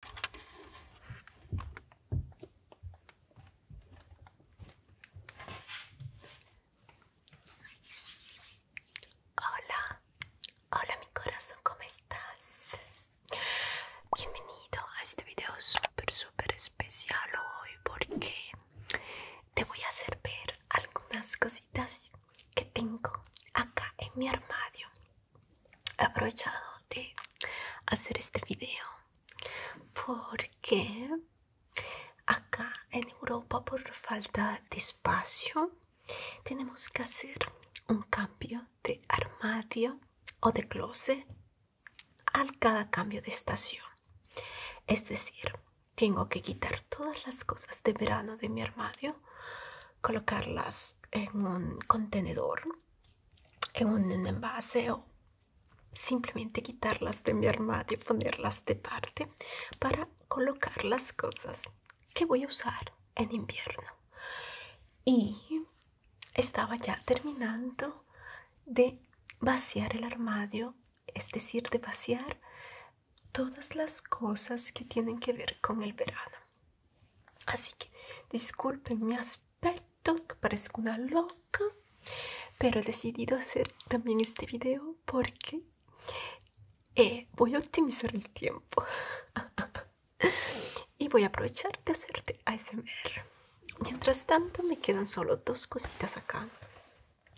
Hola, hola mi corazón, ¿cómo estás? Bienvenido a este video súper, súper especial hoy porque te voy a hacer ver algunas cositas que tengo acá en mi armario aprovechado de hacer este video porque acá en Europa por falta de espacio tenemos que hacer un cambio de armario o de closet al cada cambio de estación es decir tengo que quitar todas las cosas de verano de mi armario colocarlas en un contenedor en un envase o simplemente quitarlas de mi armario, ponerlas de parte para colocar las cosas que voy a usar en invierno. Y estaba ya terminando de vaciar el armario, es decir, de vaciar todas las cosas que tienen que ver con el verano. Así que disculpen mi aspecto, que parezco una loca, pero he decidido hacer también este video porque eh, voy a optimizar el tiempo y voy a aprovechar de hacerte ASMR. Mientras tanto, me quedan solo dos cositas acá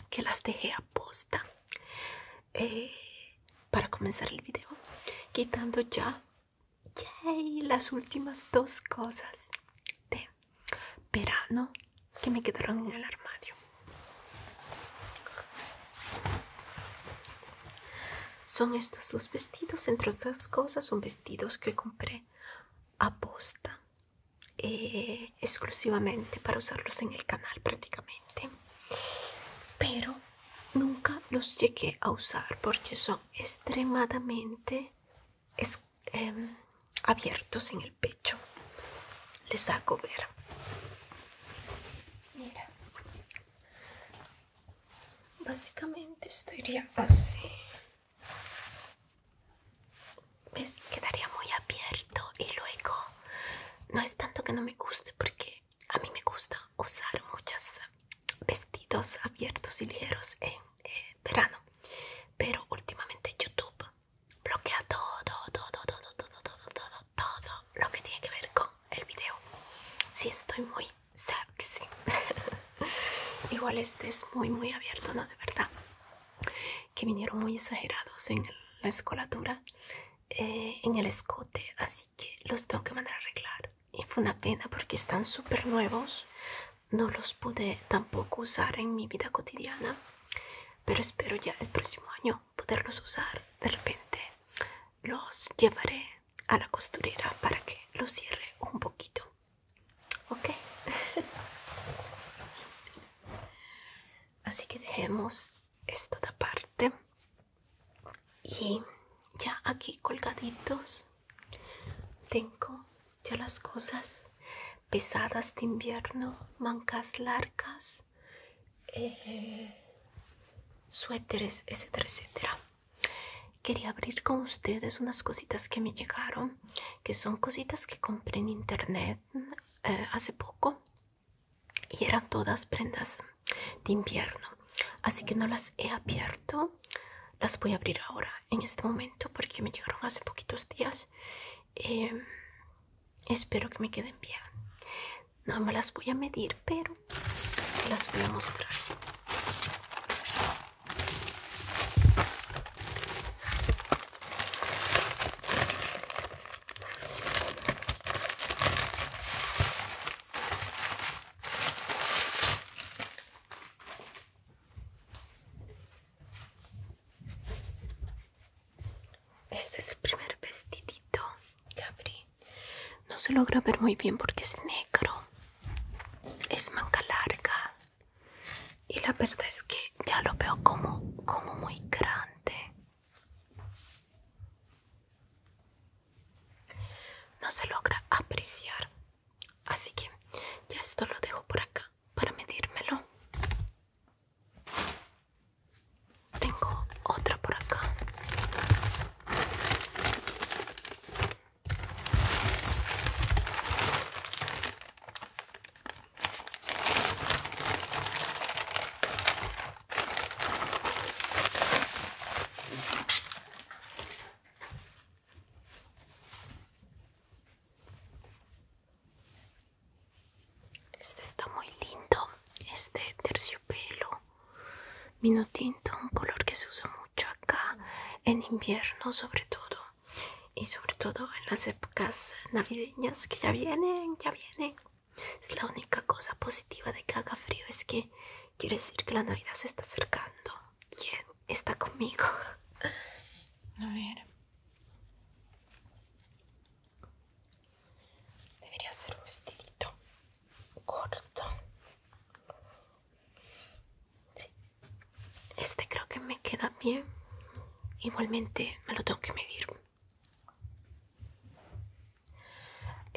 que las dejé a posta eh, para comenzar el video, quitando ya Yay, las últimas dos cosas de verano que me quedaron en el armario. Son estos dos vestidos, entre otras cosas son vestidos que compré a posta, eh, exclusivamente para usarlos en el canal prácticamente. Pero nunca los llegué a usar porque son extremadamente em, abiertos en el pecho. Les hago ver. Mira. Básicamente estaría así. ¿Ves? Quedaría muy abierto y luego no es tanto que no me guste porque a mí me gusta usar muchos vestidos abiertos y ligeros en eh, verano, pero últimamente YouTube bloquea todo, todo, todo, todo, todo, todo, todo, todo lo que tiene que ver con el video. Si estoy muy sexy, igual este es muy, muy abierto, no de verdad, que vinieron muy exagerados en la escolatura, eh, en el escote, así que los tengo que mandar a arreglar y fue una pena porque están súper nuevos no los pude tampoco usar en mi vida cotidiana pero espero ya el próximo año poderlos usar de repente los llevaré a la costurera para que los cierre un poquito ok así que dejemos esto parte aparte y ya aquí colgaditos tengo ya las cosas pesadas de invierno mancas largas eh, suéteres etcétera etcétera quería abrir con ustedes unas cositas que me llegaron que son cositas que compré en internet eh, hace poco y eran todas prendas de invierno así que no las he abierto las voy a abrir ahora en este momento porque me llegaron hace poquitos días em, espero que me queden bien no me las voy a medir pero las voy a mostrar este es el primer vestidito que abrí. No se logra ver muy bien porque es negro. Es manga larga. Y la verdad es que ya lo veo como, como muy grande. No se logra apreciar. Así que ya esto lo dejo por acá para medírmelo. Tengo otra por acá. Este está muy lindo, este terciopelo vino tinto, un color que se usa mucho acá en invierno sobre todo y sobre todo en las épocas navideñas que ya vienen, ya vienen. Es la única cosa positiva de que haga frío es que quiere decir que la Navidad se está acercando. y está conmigo? Debería ser un vestidito corto. Este creo que me queda bien. Igualmente me lo tengo que medir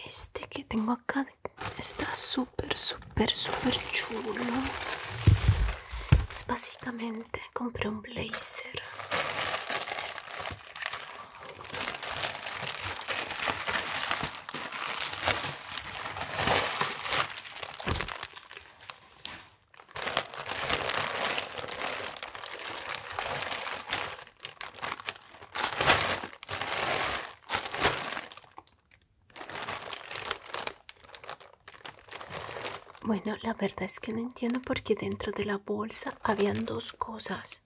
este que tengo acá está súper, súper, super chulo. Es básicamente compré un blazer. Bueno, la verdad es que no entiendo por qué dentro de la bolsa habían dos cosas.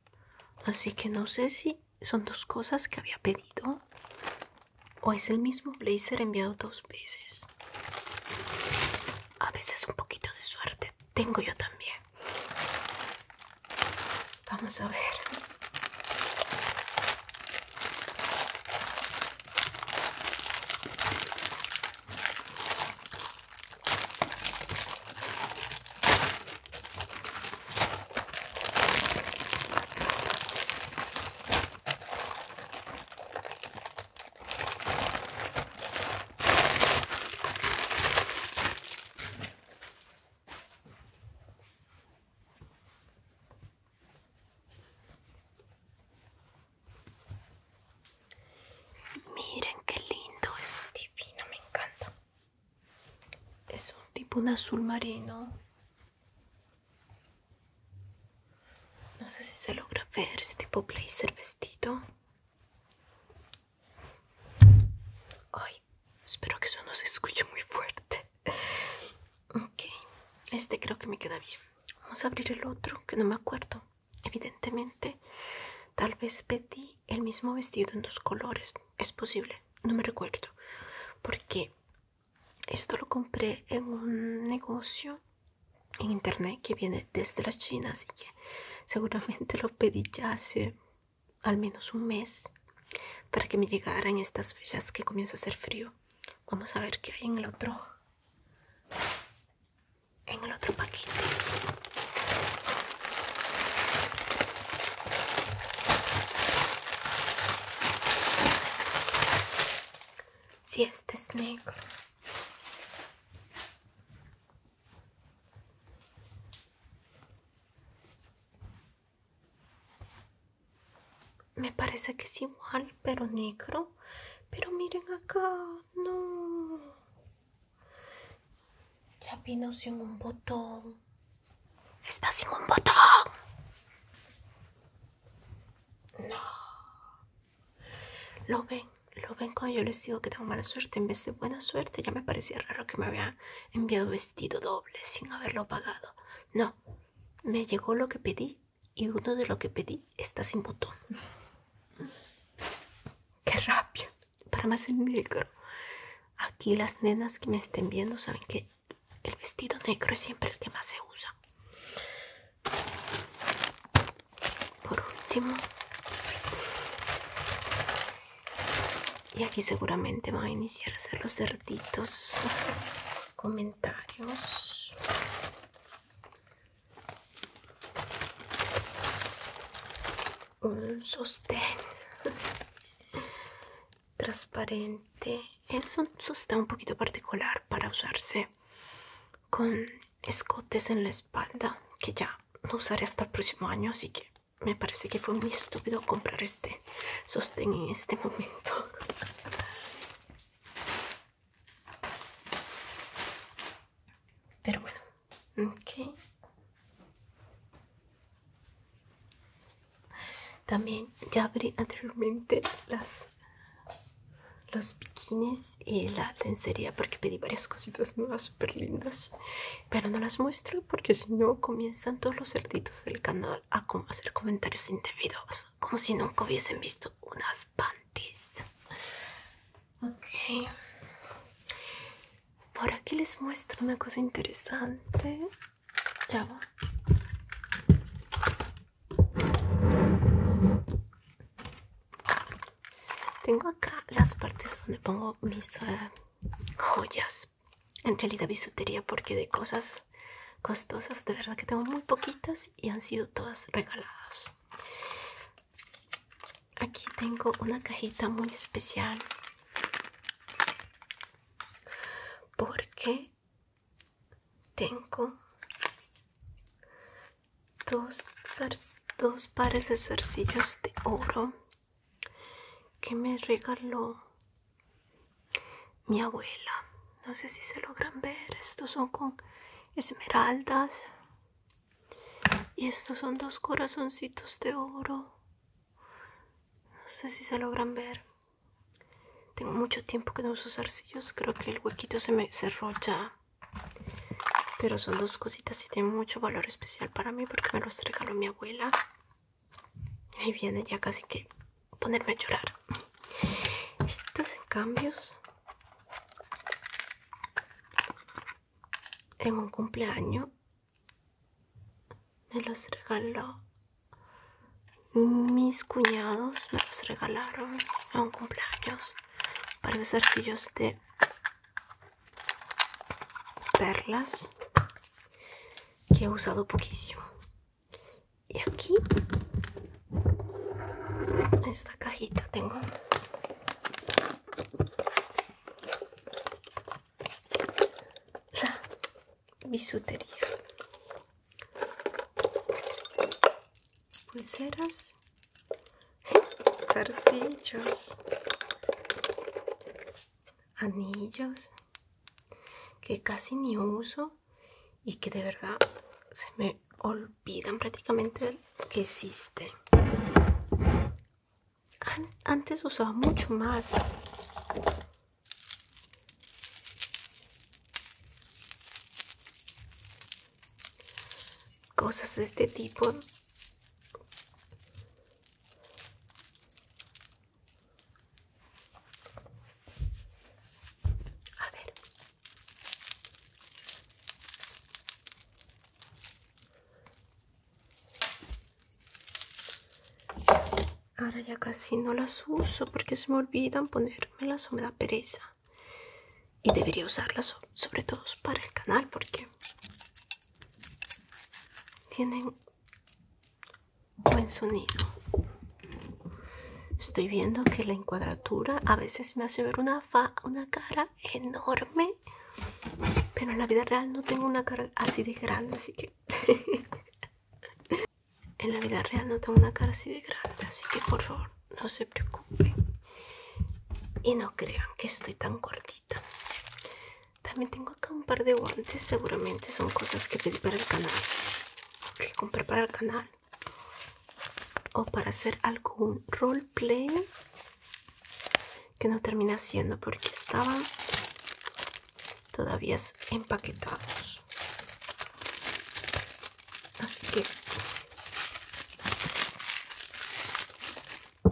Así que no sé si son dos cosas que había pedido o es el mismo blazer enviado dos veces. A veces un poquito de suerte tengo yo también. Vamos a ver. Miren qué lindo, es divino, me encanta. Es un tipo un azul marino. No sé si se logra ver este tipo blazer vestido. Ay, espero que eso no se escuche muy fuerte. Ok, este creo que me queda bien. Vamos a abrir el otro, que no me acuerdo. Evidentemente, tal vez pedí el mismo vestido en dos colores. Es posible, no me recuerdo. Porque esto lo compré en un negocio en internet que viene desde la China, así que seguramente lo pedí ya hace al menos un mes para que me llegara en estas fechas que comienza a hacer frío. Vamos a ver qué hay en el otro, en el otro paquete. Si este es negro. Me parece que es igual, pero negro. Pero miren acá, no. Ya vino sin un botón. Está sin un botón. No. Lo ven, lo ven cuando yo les digo que tengo mala suerte. En vez de buena suerte, ya me parecía raro que me había enviado vestido doble sin haberlo pagado. No, me llegó lo que pedí y uno de lo que pedí está sin botón. ¡Qué rabia! Para más el negro. Aquí las nenas que me estén viendo saben que el vestido negro es siempre el que más se usa por último y aquí seguramente va a iniciar a hacer los cerditos comentarios un sostén transparente es un sostén un poquito particular para usarse con escotes en la espalda que ya no usaré hasta el próximo año así que me parece que fue muy estúpido comprar este sostén en este momento pero bueno ok también ya abrí anteriormente las los bikinis y la lencería porque pedí varias cositas nuevas super lindas pero no las muestro porque si no comienzan todos los cerditos del canal a hacer comentarios indebidos como si nunca hubiesen visto unas panties ok por aquí les muestro una cosa interesante ya va tengo acá las partes donde pongo mis eh, joyas. En realidad bisutería porque de cosas costosas de verdad que tengo muy poquitas y han sido todas regaladas. Aquí tengo una cajita muy especial porque tengo dos, dos pares de zarcillos de oro que me regaló mi abuela no sé si se logran ver estos son con esmeraldas y estos son dos corazoncitos de oro no sé si se logran ver tengo mucho tiempo que no uso zarcillos. Creo que el huequito se me cerró ya. Pero son dos cositas y tienen mucho valor especial para mí porque me los regaló mi abuela. Ahí viene ya casi que ponerme a llorar. Estos en cambios. En un cumpleaños me los regaló mis cuñados me los regalaron a un cumpleaños. Para de zarcillos de perlas que he usado poquísimo. Y aquí, esta cajita tengo. La bisutería pulseras, zarcillos, anillos que casi ni uso y que de verdad se me olvidan prácticamente que existen. Antes usaba mucho más Cosas de este tipo. A ver. Ahora ya casi no las uso porque se me olvidan ponérmelas o me da pereza. Y debería usarlas sobre todo para el canal porque tienen buen sonido. Estoy viendo que la encuadratura a veces me hace ver una, fa, una cara enorme. Pero en la vida real no tengo una cara así de grande, así que... en la vida real no tengo una cara así de grande, así que por favor no se preocupen y no crean que estoy tan cortita. También tengo acá un par de guantes, seguramente son cosas que pedí para el canal, que compré para el canal o para hacer algún roleplay que no termina siendo porque estaba todavía empaquetados así que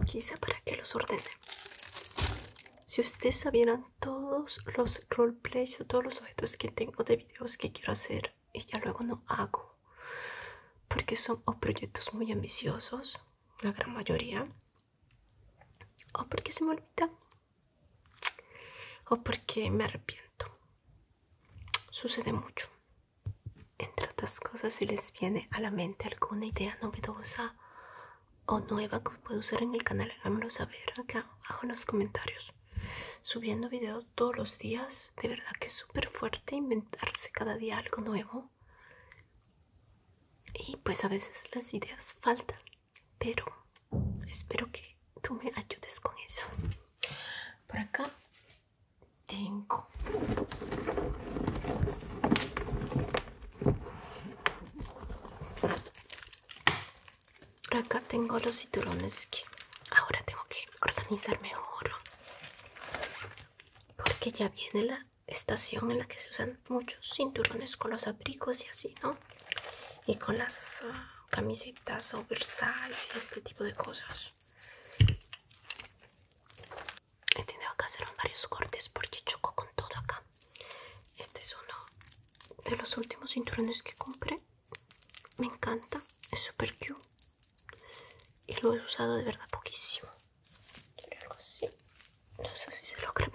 quizá para que los ordene si ustedes sabieran todos los roleplays todos los objetos que tengo de videos que quiero hacer y ya luego no hago porque son proyectos muy ambiciosos la gran mayoría o porque se me olvida o porque me arrepiento. Sucede mucho. Entre otras cosas, si les viene a la mente alguna idea novedosa o nueva que puedo usar en el canal, háganmelo saber acá abajo en los comentarios. Subiendo videos todos los días, de verdad que es súper fuerte inventarse cada día algo nuevo. Y pues a veces las ideas faltan pero espero que tú me ayudes con eso. Por acá tengo por acá tengo los cinturones que ahora tengo que organizar mejor porque ya viene la estación en la que se usan muchos cinturones con los abrigos y así, ¿no? Y con las ah, camisetas oversize y este tipo de cosas. He tenido que hacer varios cortes porque choco con todo acá. Este es uno de los últimos cinturones que compré. Me encanta, es super cute. Y lo he usado de verdad poquísimo. No sé si se lo creen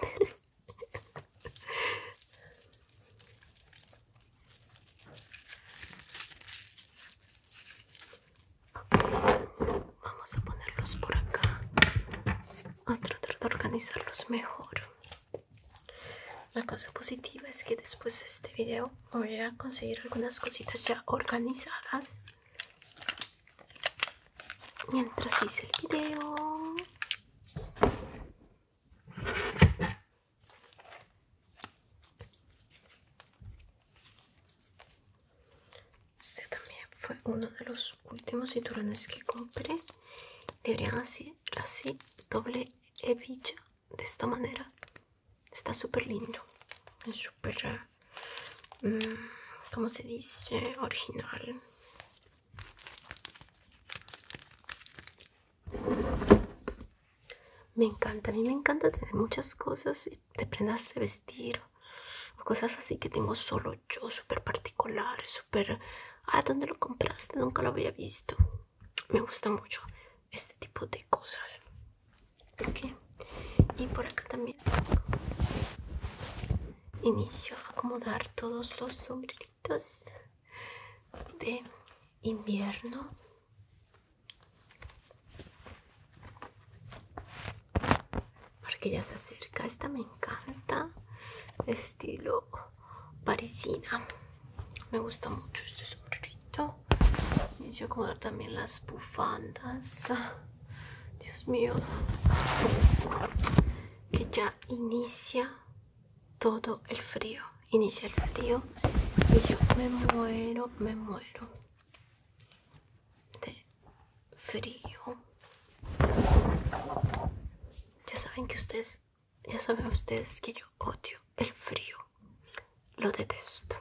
Vamos a ponerlos por acá. A tratar de organizarlos mejor. La cosa positiva es que después de este video voy a conseguir algunas cositas ya organizadas mientras hice el video este también fue uno de los últimos cinturones que compré deberían así así doble hebilla de esta manera está súper lindo es súper mm, como se dice original me encanta, a mí me encanta tener muchas cosas de prendas de vestir cosas así que tengo solo yo, super particular, super a ah, ¿dónde lo compraste? Nunca lo había visto. Me gusta mucho este tipo de cosas. Y por acá también inicio a acomodar todos los sombreritos de invierno porque ya se acerca esta me encanta estilo parisina me gusta mucho este sombrerito inicio a acomodar también las bufandas Dios mío, que ya inicia todo el frío, inicia el frío y yo me muero, me muero de frío. Ya saben que ustedes, ya saben ustedes que yo odio el frío, lo detesto.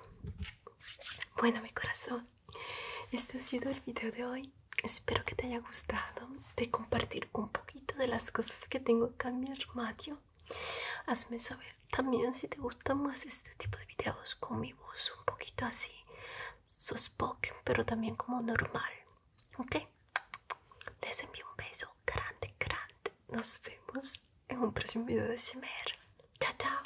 Bueno, mi corazón, este ha sido el video de hoy. Espero que te haya gustado de compartir un poquito de las cosas que tengo acá en mi armario. Hazme saber también si te gusta más este tipo de videos con mi voz un poquito así, sospoken, pero también como normal. Ok, les envío un beso grande, grande. Nos vemos en un próximo video de CMR. Chao, chao.